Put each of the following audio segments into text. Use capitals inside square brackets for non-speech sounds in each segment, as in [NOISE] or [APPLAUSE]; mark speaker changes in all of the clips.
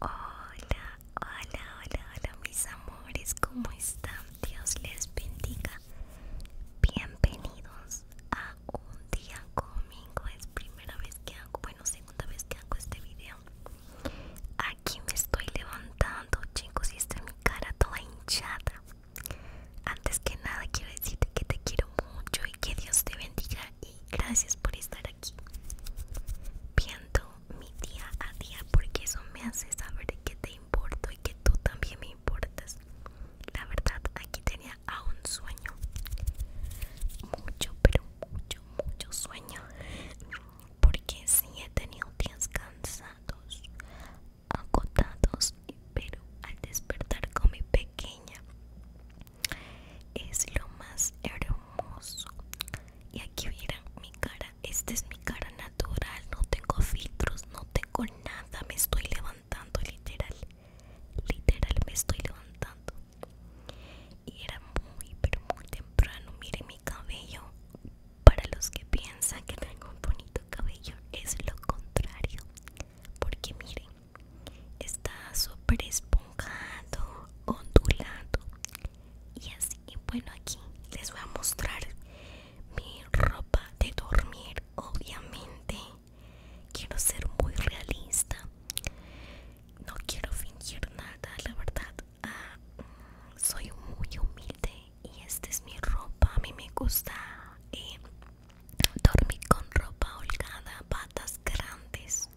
Speaker 1: Hola, hola, hola, hola mis amores, ¿cómo están? Dios les bendiga. Bienvenidos a un día conmigo. Es primera vez que hago, bueno, segunda vez que hago este video. Aquí me estoy levantando, chicos, y está mi cara toda hinchada. Antes que nada quiero decirte que te quiero mucho y que Dios te bendiga y gracias por estar viendo mi día a día porque eso me hace saber que te importo y que tú también me importas la verdad aquí tenía a un sueño mucho pero mucho mucho sueño porque sí he tenido días cansados agotados pero al despertar con mi pequeña es lo más hermoso y aquí miren mi cara esta es mi cara natural no tengo filtros no tengo nada me estoy levantando literal literal me estoy levantando y era muy pero muy temprano miren mi cabello para los que piensan que tengo un bonito cabello es lo contrario porque miren está súper esponjado, ondulado. Y así, bueno, aquí les voy a mostrar mi ropa de dormir. Obviamente, quiero ser muy realista. No quiero fingir nada, la verdad. Ah, soy muy humilde y esta es mi ropa. A mí me gusta eh, dormir con ropa holgada, patas grandes.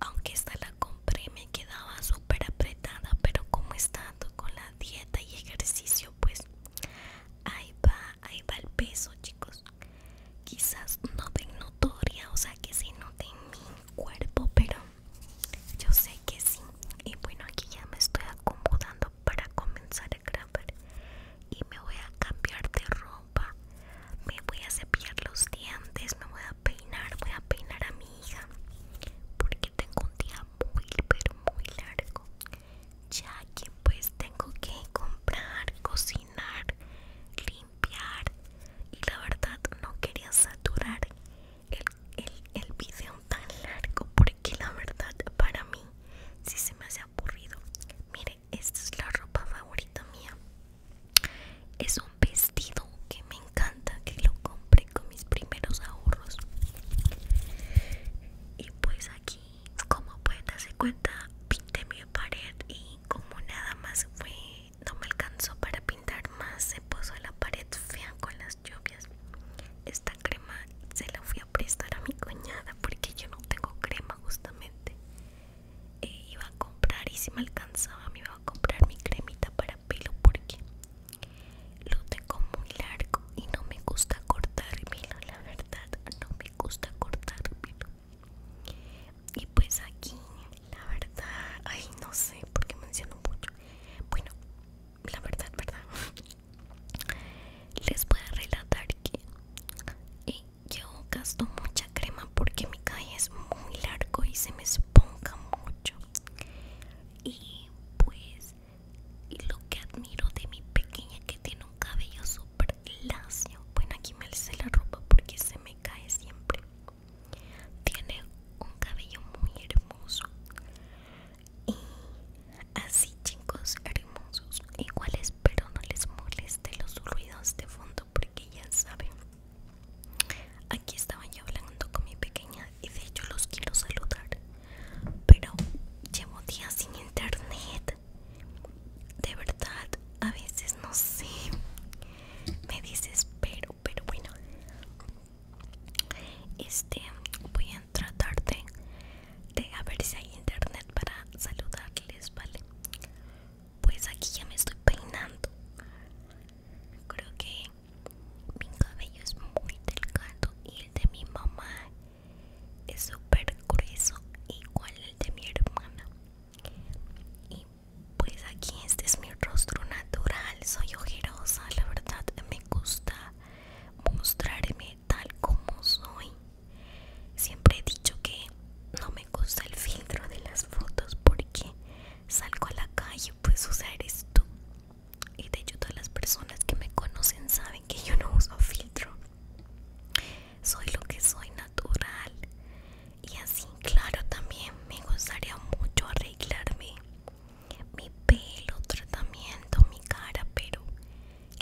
Speaker 1: Aunque esta la compré me quedaba súper apretada, pero como estando con la dieta y ejercicio, pues ahí va, ahí va el peso, chicos. Quizás no de notoria, o sea que se note en mi cuerpo, pero yo sé que sí. Y bueno, aquí ya me estoy acomodando para comenzar a grabar y me voy a cambiar de ropa me voy a cepillar los dientes, me voy a peinar, voy a peinar a mi hija, porque tengo un día muy, pero muy largo, ya que pues tengo que comprar, cocinar, limpiar y la verdad no quería saturar el, el, video tan largo porque la verdad para mí si sí se me hace aburrido mire esta es la ropa favorita mía es un vestido que me encanta que lo compré con mis primeros ahorros y pues aquí como pueden darse cuenta pinté mi pared y como nada más fue no me alcanzó para pintar más se puso la pared fea con las lluvias esta crema se la fui a prestar a mi cuñada porque yo no tengo crema justamente eh, iba a comprar y si me alcanzaba me iba a comprar mi cremita para pelo porque lo tengo muy largo y no me gusta pelo, la verdad, no me gusta cortar pelo Y pues aquí, la verdad, ay, no sé por qué menciono mucho. Bueno, la verdad, verdad. [LAUGHS] Les voy a relatar que yo gasto mucha crema porque mi calle es muy largo y se me esponja mucho y pues lo que admiro de mi pequeña que tiene un cabello súper lacio bueno aquí me alcé la ropa porque se me cae siempre tiene un cabello muy hermoso y así chicos hermosos igual espero no les moleste los ruidos de fondo porque ya saben Aquí estaba yo hablando con mi pequeña y de hecho los quiero saludar, pero llevo días sin internet. De verdad, a veces no sé. Me dices, pero, pero bueno. Este, voy a tratar de, de a ver si hay internet para saludarles, ¿vale? pues aquí ya me estoy peinando creo que mi cabello es muy delgado y el de mi mamá es súper grueso igual el de mi hermana y pues aquí este es mi rostro natural soy ojerosa la verdad me gusta mostrarme tal como soy siempre he dicho que no me gusta el filtro de las fotos porque salgo a la calle, pues usar esto. Y de hecho todas las personas que me conocen saben que yo no uso filtro. Soy lo que soy natural. Y así, claro, también me gustaría mucho arreglarme mi pelo, tratamiento, mi cara, pero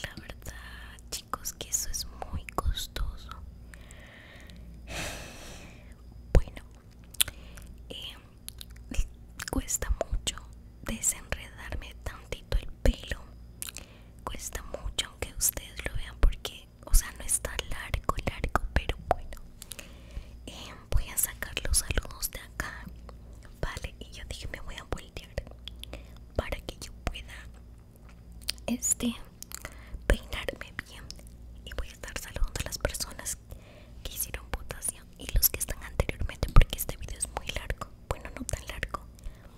Speaker 1: la verdad, chicos, que eso es muy costoso. Bueno, eh, cuesta mucho desenredarme tantito el pelo. Cuesta mucho, aunque ustedes lo vean, porque, o sea, no está largo, largo, pero bueno. Eh, voy a sacar los saludos de acá, vale. Y yo dije, me voy a voltear para que yo pueda este peinarme bien y voy a estar saludando a las personas que hicieron votación y los que están anteriormente porque este video es muy largo bueno no tan largo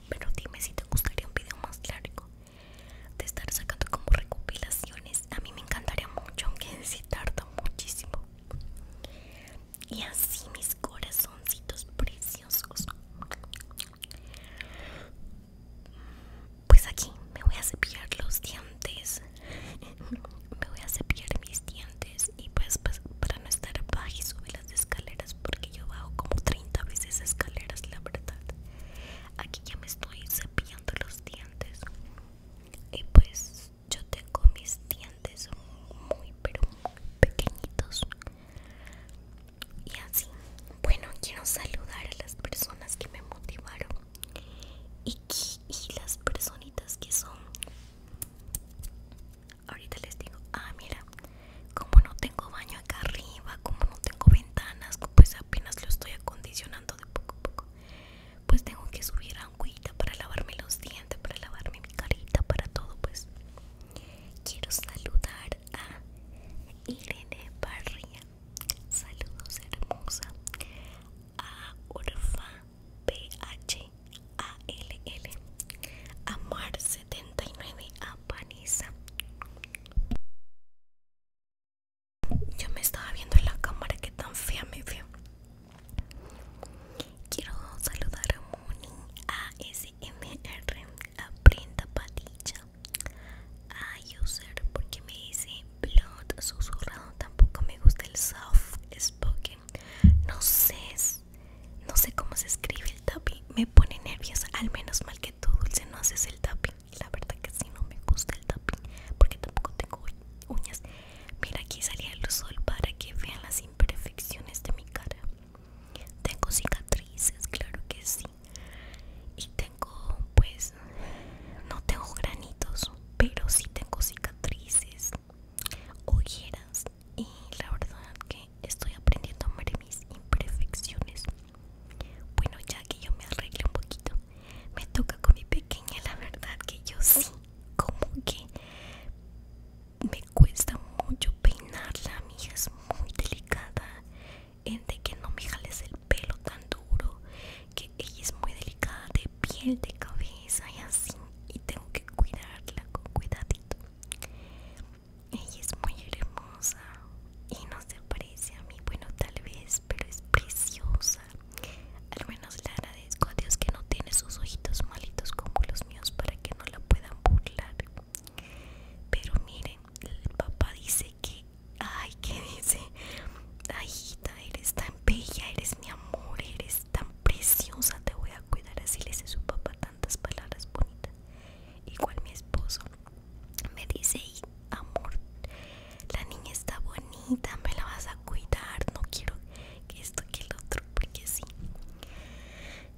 Speaker 1: pero dime si te gustaría un video más largo de estar sacando como recopilaciones a mí me encantaría mucho aunque si sí muchísimo y así mis corazoncitos preciosos pues aquí me voy a cepillar los dientes. [LAUGHS] me voy a cepillar mis dientes y pues, pues para no estar baja y las escaleras porque yo bajo como 30 veces escaleras, la verdad. Aquí ya me estoy cepillando los dientes. Y pues yo tengo mis dientes muy pero muy pequeñitos. Y así, bueno, quiero saludar a las personas que me motivaron y, las personitas que son. Ahorita les digo, ah, mira, como no tengo baño acá arriba, como no tengo ventanas, pues apenas lo estoy acondicionando de poco a poco. Pues tengo que subir agüita para lavarme los dientes, para lavarme mi carita, para todo, pues. Quiero saludar a Irene Barria Saludos hermosa a Orfa PH ALL a Mar 79 a panisa Yo me estaba viendo en la cámara que tan fea me vio. Quiero saludar a Moni a R la Padilla Ay user porque me dice blood susurrado tampoco me gusta el soft spoken no sé no sé cómo se escribe el tapi. me pone nerviosa al menos mal que tú dulce no haces el tapi. la verdad que sí no me gusta el tapping porque tampoco tengo uñas mira aquí salía el sol para que vean las imperfecciones de mi cara tengo cicatrices claro que sí y tengo pues no tengo granitos pero sí tengo cicatrices ojeras y la verdad que estoy aprendiendo a amar mis imperfecciones bueno ya que yo me arregle un poquito me toca con mi pequeña la verdad que yo sí como que me cuesta mucho peinarla mi hija es muy delicada de que no me jales el pelo tan duro, que ella es muy delicada de piel, de cabeza y así, y tengo que cuidarla con cuidadito. Ella es muy hermosa y no se parece a mí, bueno tal vez, pero es preciosa. Al menos le agradezco a Dios que no tiene sus ojitos malitos como los míos para que no la puedan burlar. Pero miren, el papá dice ay dice ay hijita eres tan bella eres mi amor eres tan preciosa te voy a cuidar así le dice su papá tantas palabras bonitas igual mi esposo me dice amor la niña está bonita me la vas a cuidar no quiero que esto que el otro porque sí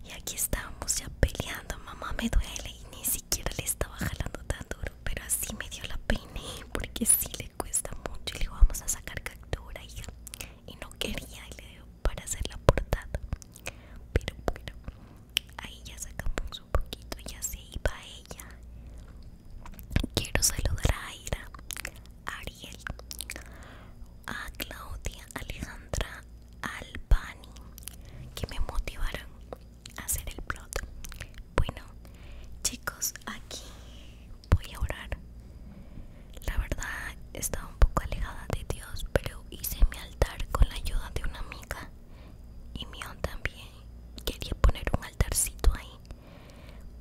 Speaker 1: y aquí estábamos ya peleando mamá me duele ni siquiera le estaba jalando tan duro, pero así me dio la pena porque sí le cuesta mucho. Y le vamos a sacar captura y, no quería y le dio para hacer la portada. Pero bueno, ahí ya sacamos un poquito, ya se iba ella. Quiero saludar a Aira, Ariel, a Claudia, Alejandra, Albani, que me motivaron hacer el plot. Bueno, chicos, aquí voy a orar. La verdad estaba un poco alejada de Dios, pero hice mi altar con la ayuda de una amiga y mío también. Quería poner un altarcito ahí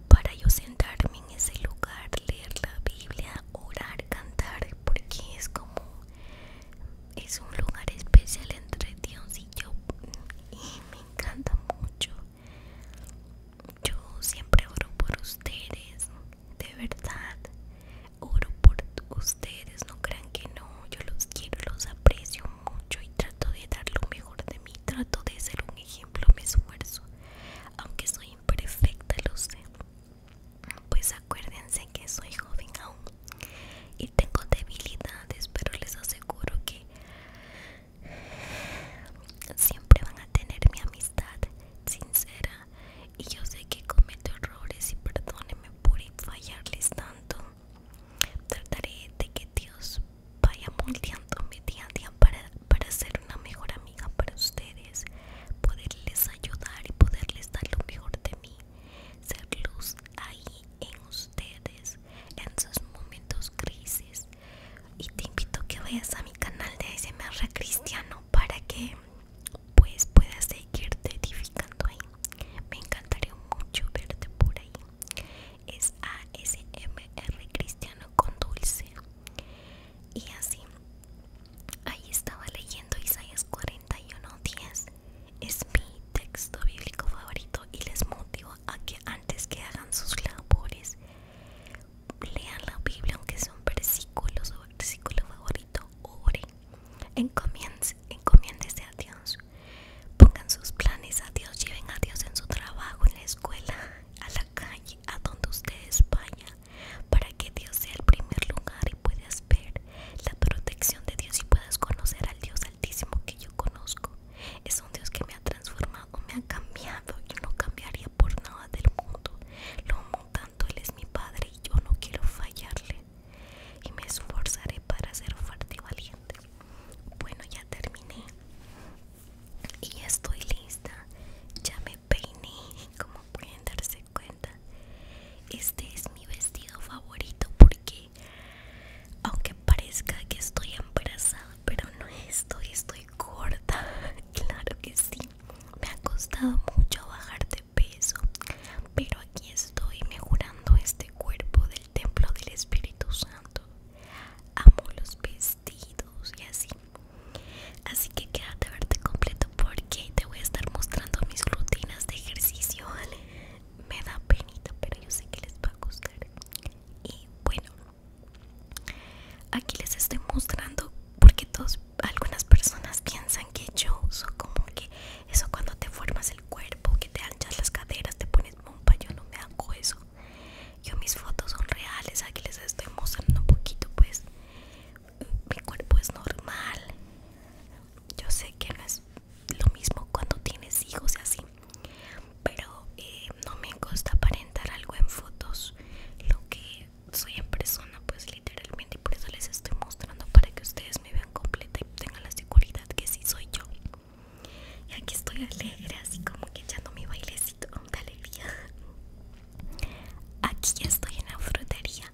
Speaker 1: para yo sentarme en ese lugar, leer la Biblia, orar, cantar, porque es como es un lugar especial entre Dios y yo y me encanta mucho yo siempre oro por ustedes de verdad oro por ustedes no crean que no yo los quiero los aprecio mucho y trato de dar lo mejor de mí trato de ser un ejemplo me esfuerzo aunque soy imperfecta lo sé pues acuérdense que soy joven aún y tengo debilidades pero les aseguro que siempre van a tener mi amistad sincera y yo sé que cometo errores y perdónenme por fallarles tanto trataré de que Dios vaya moldeando mi día a día para, para ser una mejor amiga para ustedes poderles ayudar y poderles dar lo mejor de mí ser luz ahí en ustedes, en sus momentos crisis Y te invito a que vayas a mi canal de ASMR Cristiano para que pues puedas seguirte edificando ahí. Me encantaría mucho verte por ahí. Es ASMR Cristiano con dulce. Y así, ahí estaba leyendo Isaías 41, 10 es mi texto bíblico favorito y les motivo a que antes que hagan sus labores lean la Biblia, aunque sea un versículo, su versículo favorito, oren, encomiéndese a Dios, pongan sus planes a Dios, lleven a Dios en su trabajo, en la escuela, a la calle, a donde ustedes vayan, para que Dios sea el primer lugar y puedas ver la protección de Dios y puedas conocer al Dios altísimo que yo conozco. Es un Dios que me ha transformado, me ha cambiado. y no cambiaría por nada del mundo. Lo amo tanto, Él es mi Padre y yo no quiero fallarle. Y me esforzaré para ser fuerte y valiente. Bueno, ya terminé. Y estoy lista. Ya me peiné, como pueden darse cuenta. Este es mi vestido favorito porque aunque parezca que estoy embarazada, pero no estoy, estoy corta. [LAUGHS] Claro que sí, me ha costado mucho bajar de peso, pero aquí estoy mejorando este cuerpo del templo del Espíritu Santo. Amo los vestidos y así. Así que quédate a verte completo porque te voy a estar mostrando mis rutinas de ejercicio, me da penita, pero yo sé que les va a gustar. Y bueno, aquí les estoy mostrando porque todos, algunas personas piensan que yo uso como que eso cuando te formas el cuerpo, que te anchas las caderas, te pones pompa, yo no me hago eso. Yo mis fotos son reales, aquí les estoy mostrando un poquito pues mi cuerpo es normal. Yo sé que no es lo mismo cuando tienes hijos y así pero eh, no me gusta aparentar algo en fotos lo que soy en persona pues literalmente y por eso les estoy mostrando para que ustedes me vean completa y tengan la seguridad que sí soy yo y aquí estoy alegre así como que echando mi bailecito de alegría aquí ya estoy en la frutería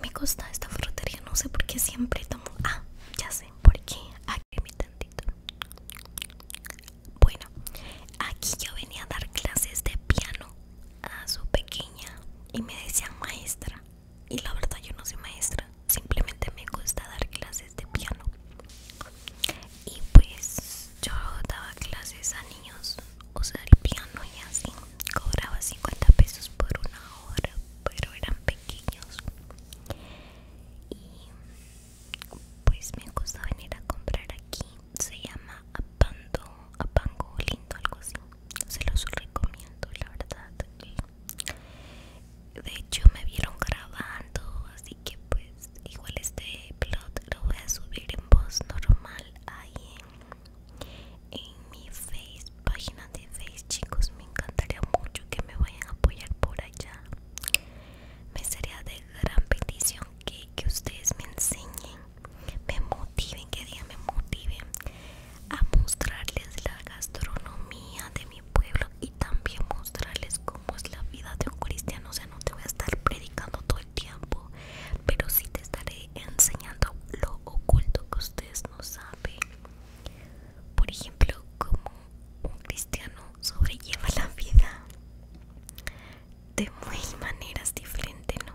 Speaker 1: me gusta esta frutería, no sé por qué siempre tomo... Ah, ya sé, por qué aquí mi tantito. Bueno, aquí yo venía a dar clases de piano a su pequeña y me decían maestra. Y la verdad yo no soy maestra, simplemente me gusta dar clases de piano. Y pues yo daba clases a niños, o el piano y así, cobraba 50 pesos por una pero eran pequeños. Y pues me gusta venir a comprar aquí. Se llama Apando, Apango Lindo, algo así. Se los recomiendo, la verdad. De hecho, me vieron grabando, así que pues igual este plot lo voy a subir en voz normal ahí en en mi face, página de face, chicos. Me encantaría mucho que me vayan a apoyar por allá. Me sería de gran petición que, ustedes me enseñen, me motiven, que día me motiven a mostrarles la gastronomía de mi pueblo y también mostrarles cómo es la vida de un cristiano. O sea, no te voy a estar predicando todo el tiempo, pero sí te estaré enseñando lo oculto que ustedes no saben. Por ejemplo, cómo un cristiano sobrelleva la vida de muy maneras diferentes, ¿no?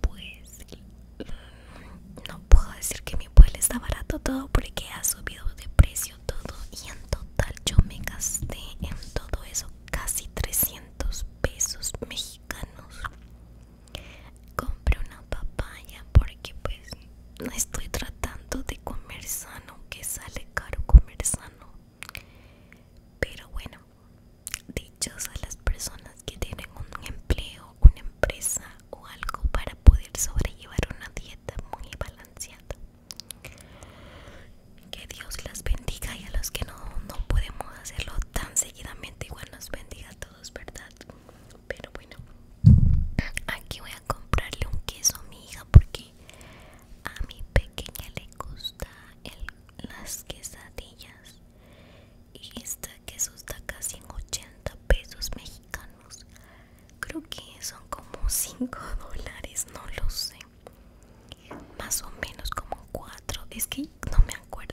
Speaker 1: Pues no puedo decir que mi pueblo está barato todo porque ha subido de precio todo y en total yo me gasté en todo eso casi 300 pesos mexicanos compré una papaya porque pues no estoy tratando de comer sano que sale caro comer sano pero bueno dichos a las personas que tienen un empleo una empresa o algo para poder sobrellevar una dieta muy balanceada que Dios las bendiga y a los que no, no podemos hacerlo tan seguidamente igual nos bendiga a todos, ¿verdad? Pero bueno, aquí voy a comprarle un queso a mi hija porque a mi pequeña le gusta las quesadillas. Y este queso está casi en 80 pesos mexicanos. Creo que son como 5 [LAUGHS] dólares, no lo sé. Más o menos como 4. Es que no me acuerdo.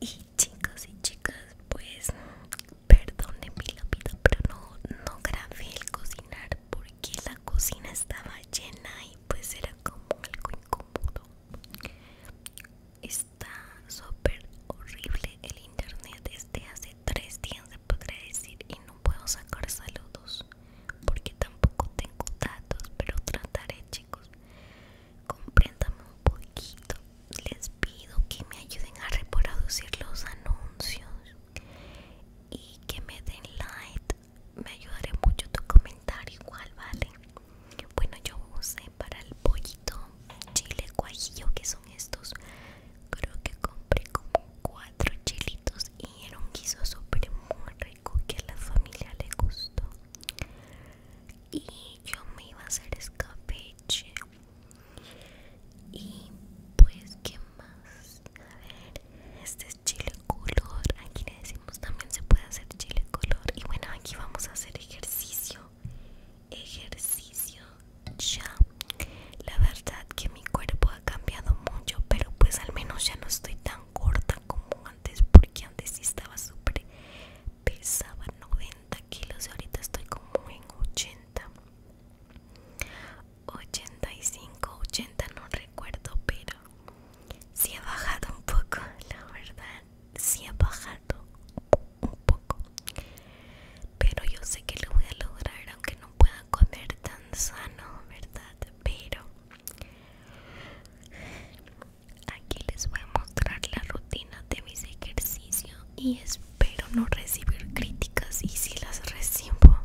Speaker 1: Y chicos y chicas, pues perdonen mi vida pero no, grabé el cocinar porque la cocina estaba llena y pues era como algo incómodo. Está súper horrible el internet desde hace tres días, se podría decir, y no puedo sacar saludos porque tampoco tengo datos, pero trataré chicos. Compréndame un poquito. Les pido que me ayuden a reproducir los anuncios y que me den like. Me ayudaré mucho tu comentario igual, ¿vale? Bueno, yo usé para el pollito chile guajillo, que son estos. Creo que compré como cuatro chilitos y era un guiso súper muy que a la familia le gustó y yo me iba a hacer escapeche y pues qué más a ver este es chile color aquí le decimos también se puede hacer chile color y bueno aquí vamos a hacer ejercicio ejercicio ya la verdad que mi cuerpo ha cambiado mucho pero pues al menos ya no estoy tan corta como antes porque antes sí estaba súper pesado 90 kilos y ahorita estoy como en 80 85 80 no recuerdo pero sí ha bajado un poco la verdad sí ha bajado un poco pero yo sé que lo voy a lograr aunque no pueda comer tan sano verdad pero Aquí les voy a mostrar la rutina de mis ejercicios y espero no recibir críticas y si las recibo,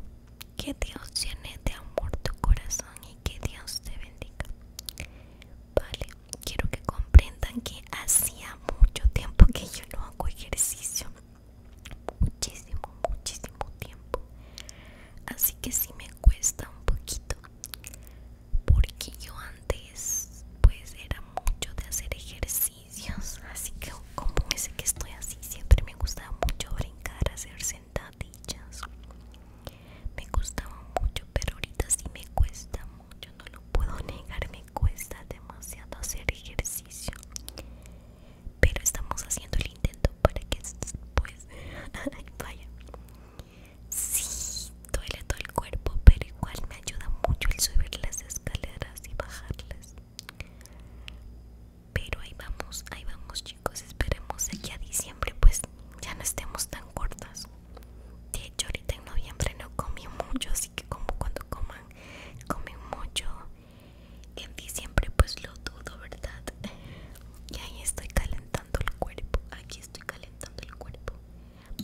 Speaker 1: que Dios llene de amor tu corazón y que Dios te bendiga. Vale, quiero que comprendan que hacía mucho tiempo que yo no hago ejercicio. Muchísimo, muchísimo tiempo. Así que si me cuesta un poquito porque yo antes pues era mucho de hacer ejercicios así que como ese que estoy así siempre me gustaba mucho brincar hacer sentadillas me gustaba mucho pero ahorita sí me cuesta mucho no lo puedo [LAUGHS] negar me cuesta demasiado hacer ejercicio pero estamos haciendo el intento para que pues [LAUGHS] vaya Sí, duele todo el cuerpo, pero igual me ayuda mucho el subir las escaleras y bajarlas. Pero ahí vamos, ahí vamos chicos, esperemos aquí a diciembre pues ya no estemos tan cortas. De hecho ahorita en noviembre no comí mucho, así que como cuando coman, comen mucho. En diciembre pues lo dudo, ¿verdad? [LAUGHS] Y ahí estoy calentando el cuerpo. Aquí estoy calentando el cuerpo.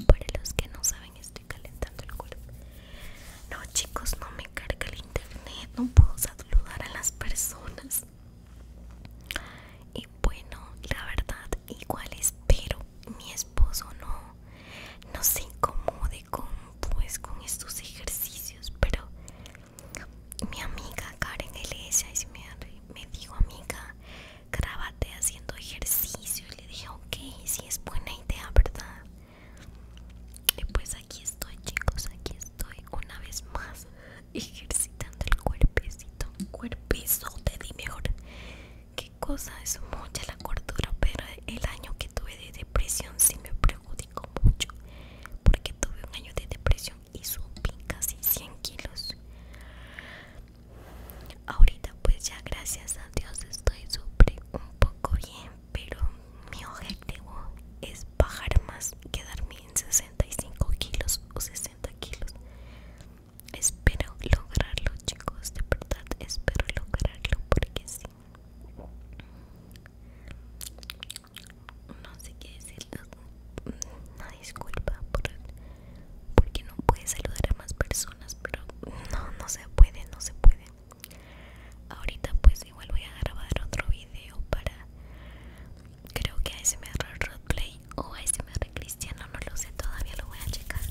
Speaker 1: Para los que no saben, estoy calentando el cuerpo. No, chicos, no me carga el internet. No puedo saludar a las personas. Y bueno, la verdad, igual espero mi esposo no, no se incomode con, pues, con estos ejercicios. Pero mi amiga Karen iglesia me, me dijo, amiga, grábate haciendo ejercicio. Y le dije, ok, si es buena idea, ¿verdad? Y pues aquí estoy, chicos, aquí estoy una vez más ejercitando el cuerpecito. te di mejor. Qué cosa, es mucha la cordura, pero el año que tuve de depresión sí me perjudicó mucho. Porque tuve un año de depresión y subí casi 100 kilos. Ahorita pues ya gracias a Dios estoy súper un poco bien, pero mi objetivo es bajar más, quedarme en 65 kilos o 60 kilos. Espero lograrlo chicos, de verdad espero lograrlo porque sí no sé qué decirlo, una disculpa porque no puedes saludar a más personas pero no no se puede no se puede ahorita pues igual voy a grabar otro video para creo que ASMR Roleplay o ASMR Cristiano no lo sé todavía lo voy a checar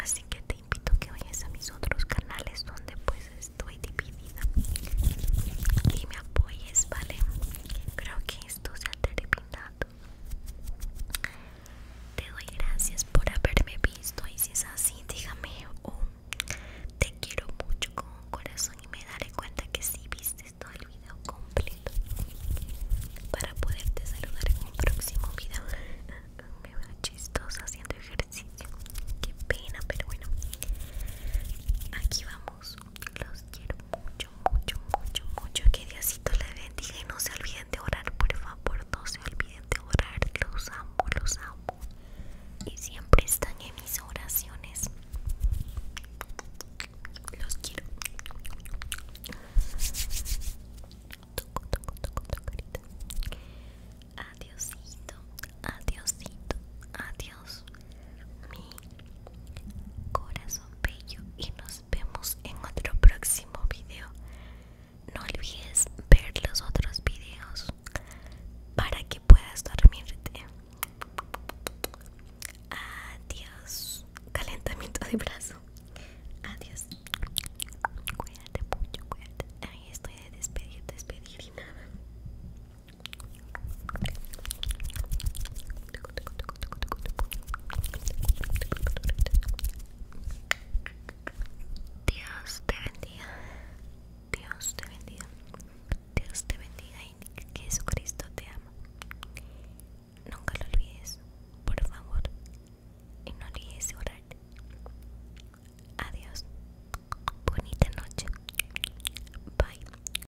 Speaker 1: así que te invito que vayas a mis otros canales donde pues estoy dividida y me apoyes vale creo que esto se ha Te doy gracias por haberme visto y si es así, dígame un te quiero mucho con un corazón y me daré cuenta que si viste todo el video completo para poderte saludar en un próximo video. [LAUGHS] me veo chistosa haciendo ejercicio. Qué pena, pero bueno. Aquí vamos los quiero mucho, mucho, mucho, mucho. Que Diosito les bendiga y no se olviden de orar, por favor, no se olviden de orar. Los amo, los amo. Y siempre están en mis oraciones. Los quiero. Toco, toco, toco, Adiosito, adiosito, adiosito mi corazón bello y nos vemos en otro próximo video. No olvides ver los otros videos para que puedas dormirte. Adiós. Calentamiento de brazo. Adiós. Cuídate mucho, cuídate. Ahí estoy de despedir, despedir y nada. Dios te bendiga, Dios te bendiga, Dios te bendiga y Jesucristo te ama. Nunca lo olvides, por favor, y no olvides orar. Adiós, bonita noche, bye.